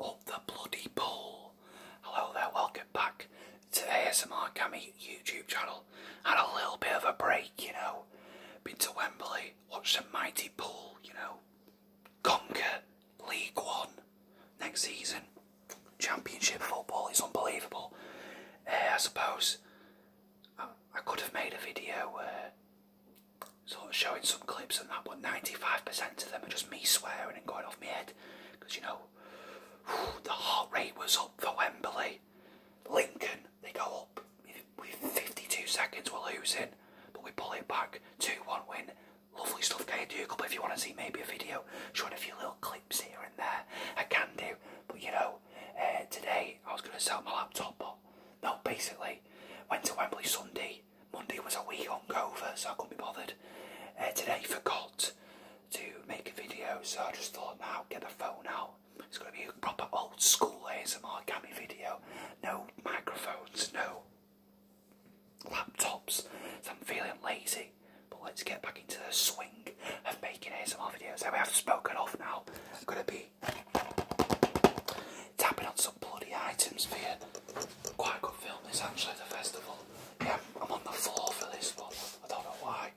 Up the bloody pool. Hello there, welcome back to the ASMR Gammy YouTube channel. Had a little bit of a break, you know. Been to Wembley, watched the mighty pool, you know. Conquer League One next season. Championship football is unbelievable. Eh, I suppose I, could have made a video uh, so I showing some clips and that, but 95% of them are just me swearing and going off my head. Because, you know, the heart rate was up for Wembley. Lincoln, they go up with 52 seconds, we're losing. But we pull it back, 2-1 win. Lovely stuff, Kay Duke. But if you want to see maybe a video showing a few little clips here and there, I can do. But, you know, uh, today I was going to sell my laptop, but no, basically, went to Wembley Sunday. Monday was a wee hungover, so I couldn't be bothered. Uh, today, forgot to make a video, so I just thought, now get the phone out. It's going to be a proper old school ASMR gammy video. No microphones, no laptops. So I'm feeling lazy, but let's get back into the swing of making ASMR videos. So we have spoken off now. It's going to be Tapping on some bloody items for you. Quite good film this actually, the festival. Yeah, I'm on the floor for this one. I don't know why.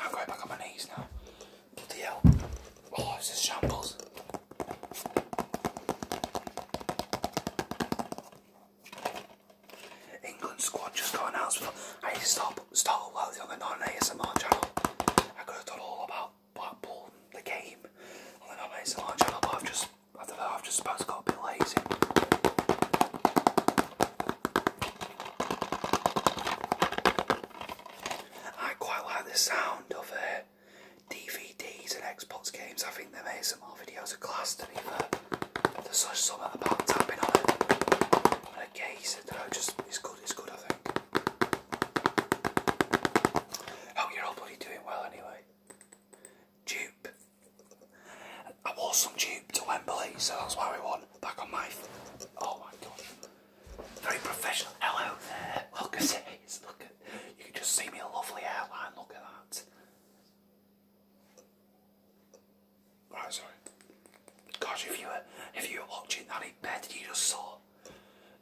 I'm going back on my knees now. Bloody hell. Oh, it's just shambles. England squad just got announced. I need to start, start a while on the ASMR channel. I could have done all about Blackpool the game on the ASMR channel, but I've just, I don't know, I've just suppose got a bit lazy. I quite like the sound of uh, DVDs and Xbox games. I think them ASMR videos are class to be fair. There's such something about tapping on it. I'm going just it's good. It's good. I think. Hope oh, you're all doing well anyway. Dupe. I wore some dupe to Wembley, so that's why we won. Back on my. Oh my god. Very professional. Hello there. Look You can just see me a lovely hairline. Look at that. Right, sorry. Gosh, if you were if you were watching that bed you just saw,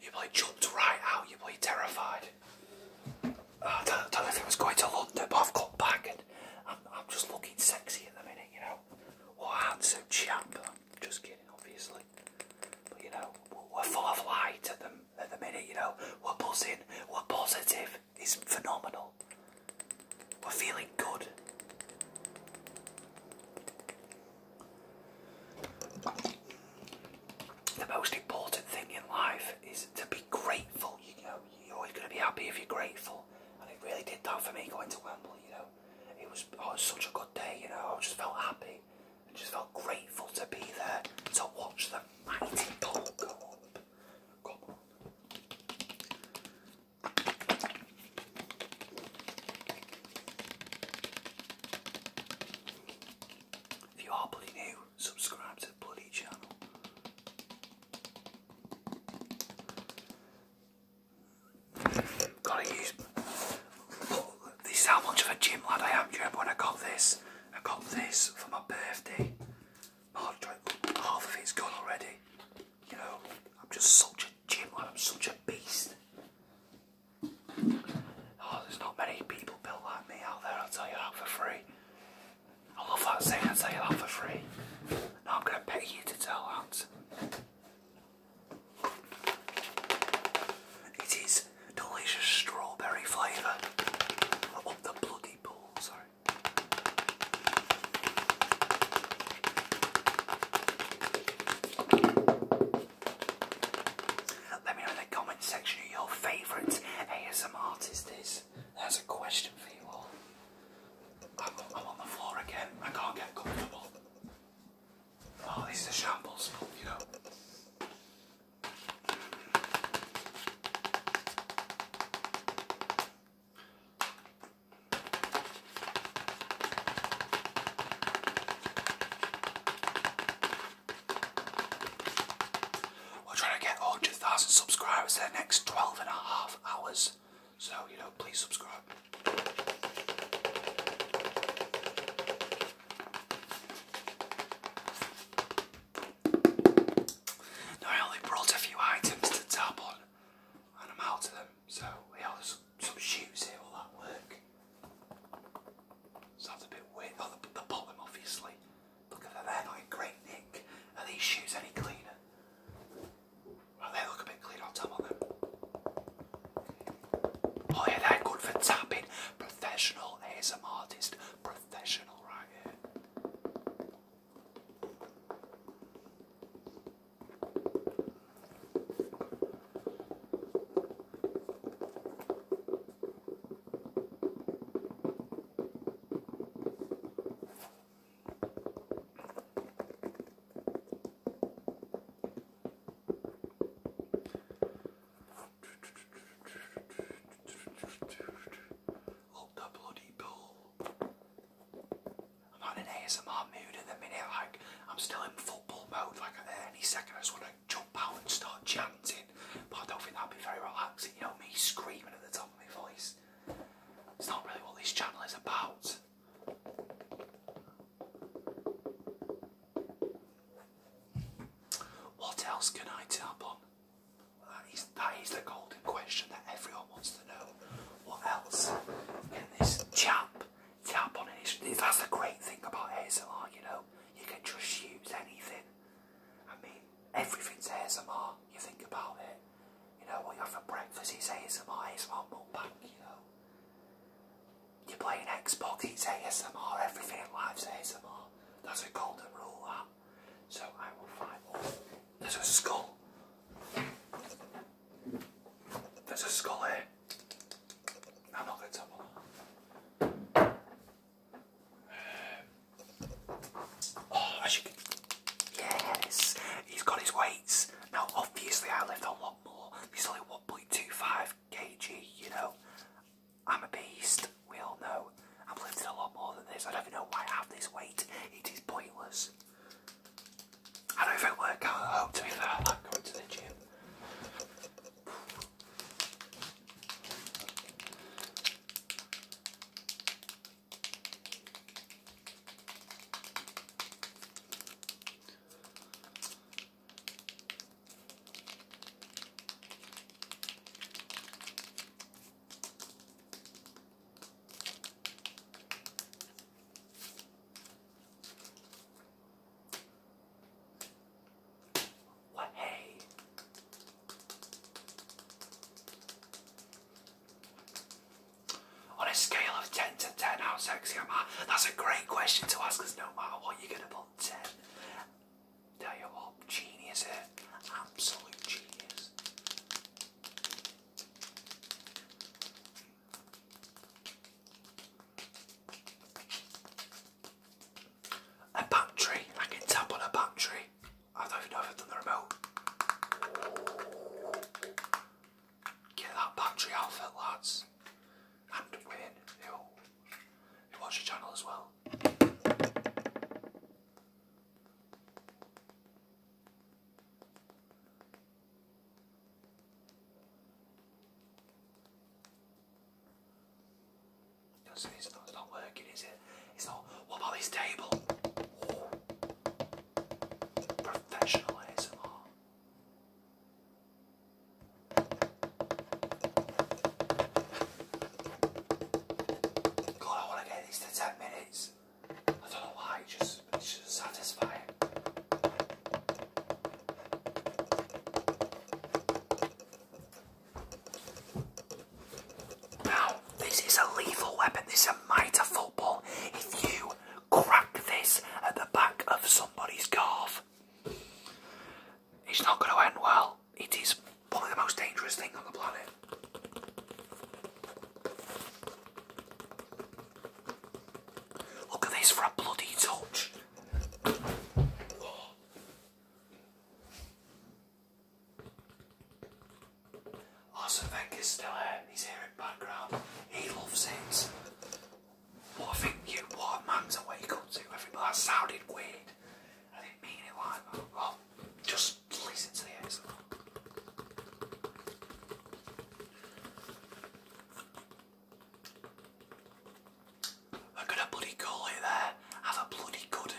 you probably jumped right out. you would be terrified. Uh, I don't, know if it was going to London, but I've come back and I'm, I'm just looking sexy at the minute, you know. What a handsome chap. I'm just kidding, obviously. But you know, we're full of light at the, at the minute, you know. We're buzzing, we're positive is phenomenal. We're feeling good. The most important thing in life is to be grateful. You know, you're always going to be happy if you're grateful, and it really did that for me going to Wembley. You know, it was, oh, such a good day. You know, I just felt happy. I just felt grateful to be there to watch the mighty ball go if you are bloody new, subscribe to bloody channel. Gotta use. Oh, this is how much of a gym lad I am. Do you remember when I got this? I got this for my birthday. half of it's gone already. You know, I'm just such a gym I'm such a beast. Oh, there's not many people built like me out there, I'll tell you that for free. I love that saying, I'll tell you that for free. Now I'm going to pay you to tell that. It is delicious strawberry flavour of oh, the bloody pool, sorry. Let me know in the comment section who your favourite ASM artist is. That's a question for you all. I'm, on the floor again. I can't get comfortable. Oh, this is shambles, you know. We're trying to get 100,000 subscribers in the next 12 and a half hours. So, you know, please subscribe. I only brought a few items to tap on and I'm out of them, so yeah, there's some, some shoes here, will that work? So a bit weird. Oh, the, bottom obviously. Look at that, not great nick. Are these shoes any cleaner? Well, they look a bit clean on top Oh yeah, they're good for tapping, professional ASM artist. Professional writer. Up the bloody pool. I'm on an ASMR mood at the minute, like I'm still in football mode, like at any second I just want to jump out and start chanting. But I don't think that'd be very relaxing, you know, me screaming at the top of my voice. It's not really what this channel is about. What else can I tap on? That is, that is the golden question that everyone wants to know. What else can this chap tap on? In his, that's the great thing about ASMR, you know. You can just use anything. I mean, everything's ASMR, you think about it. You know, what you have for breakfast is ASMR, ASMR mukbang, you know you play an Xbox, it's ASMR, everything in life's ASMR. That's a golden rule, So I will find one. There's a skull. There's a skull here. I'm not going to uh, oh, Yes, he's got his weights. Now, obviously, I lift a lot more. He's only one 0.25 kg, you know. I'm a beast, we all know. I've lifted a lot more than this. I don't know why I have this weight. It is pointless. I don't know even work out at home to be fair, I am going to the gym. What hey? On a scale of 10 to 10, how sexy am I? That's a great question to ask because no matter what, you're going to put 10. Tell you what, genius here. Absolute genius. A battery. I can tap on a battery. I don't know if I've done the remote. Get that battery outfit, lads. And win. who, watch your channel as well. It's not, it's not working, is it? It's not. What about this table? Professional God, I want to get these to 10 minutes. I don't know why, just, just satisfying. Now, this is a lethal weapon. This is a mitre football. If you crack this at the back of somebody's calf. It's not going to end well. It is probably the most dangerous thing on the planet. Look at this for a bloody touch. Arsene Wenger's still here, he's here in background, he loves it. What I think you, what man's awake up to, everybody, that sounded weird. I didn't mean it like that. Well, just listen to the excerpt. I'm going bloody call there. Have a bloody good